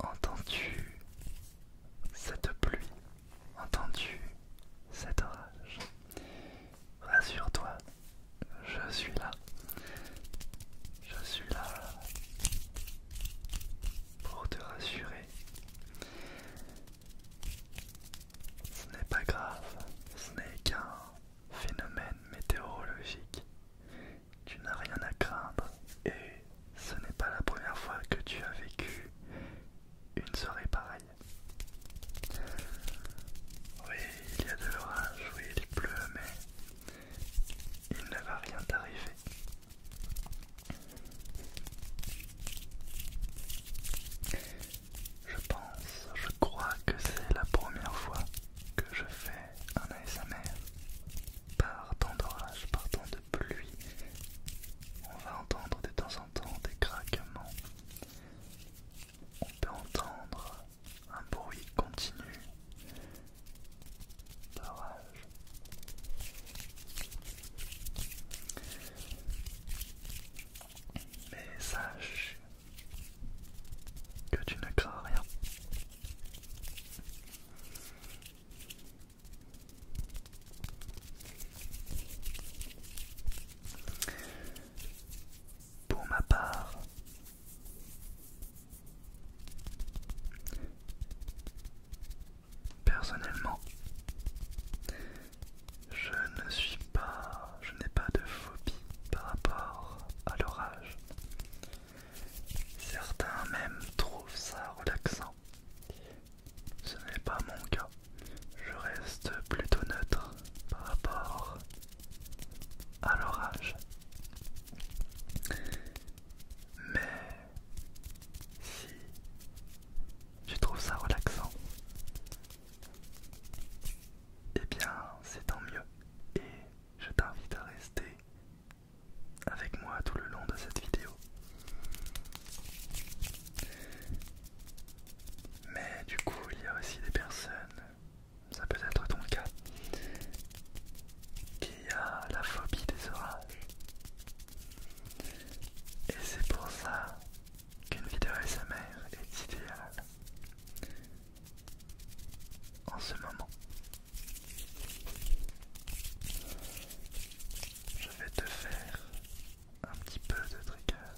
Entends-tu cette pluie Entends-tu cet orage Rassure-toi, je suis là. Je suis là pour te rassurer. Ce n'est pas grave, ce n'est qu'un phénomène météorologique. Tu n'as rien à craindre et ce n'est pas la première fois que tu as vécu une soirée pareille. Oui, il y a de l'orage, oui, il pleut, mais il ne va rien t'arriver. Je pense, je crois que c'est la première fois que je fais un ASMR par temps d'orage, par temps de pluie. On va entendre de temps en temps des craquements. On peut entendre un bruit continu d'orage. Mais sache que tu ne rien. Pour ma part, personnellement, je ne suis pas, je n'ai pas de phobie par rapport à l'orage. Certains même trouvent ça relaxant. Ce n'est pas mon cas. Je reste plutôt neutre par rapport à l'orage. Mais si tu trouves ça relaxant, eh bien c'est tant mieux et je t'invite à rester avec moi tout le long de cette vidéo. Mais du coup il y a aussi des personnes, ça peut être ton cas, qui a la phobie des orages. Et c'est pour ça qu'une vidéo mère est idéale en ce moment. Je vais te faire un petit peu de trigger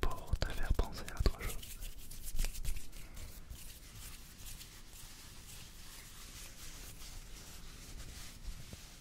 pour te faire penser à autre chose.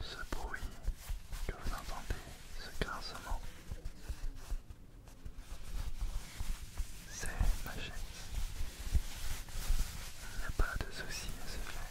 ce bruit que vous entendez, ce grincement, c'est magique. Il n'y a pas de soucis, à se faire.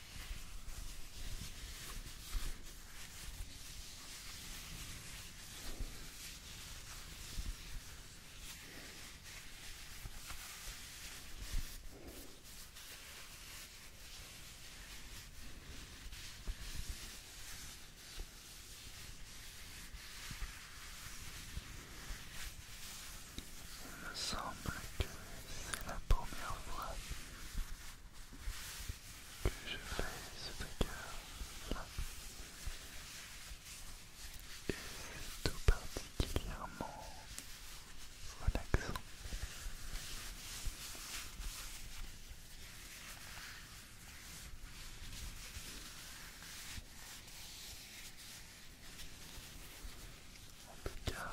Il me semble que c'est la première fois que je fais ce trigger là et tout particulièrement relaxant en tout cas,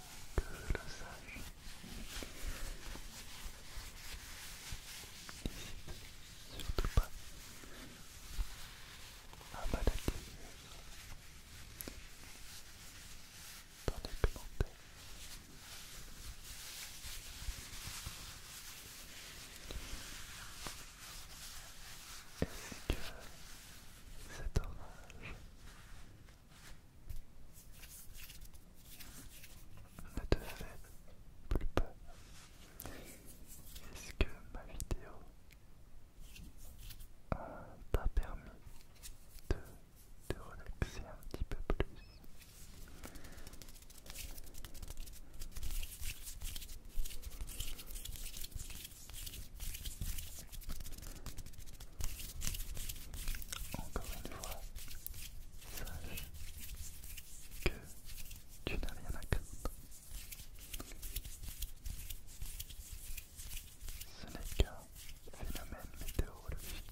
que je le sache. Surtout pas à maladie dans les commentaires. Et c'est que cet orage ne te fais plus peur. Est-ce que ma vidéo t'a permis de te relaxer un petit peu plus encore une fois, sache que tu n'as rien à craindre. Ce n'est qu'un phénomène météorologique.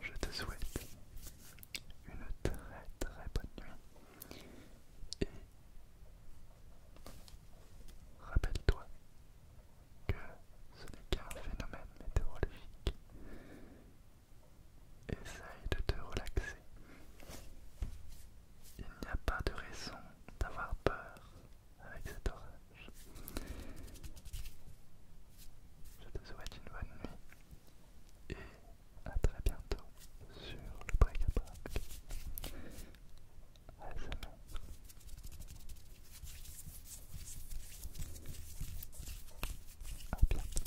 Je te souhaite une très très bonne nuit et rappelle-toi que ce n'est qu'un phénomène météorologique. Essaye de te relaxer. Il n'y a pas de raison d'avoir peur avec cet orage. Je te souhaite une bonne nuit et à très bientôt sur le break à break. À à bientôt.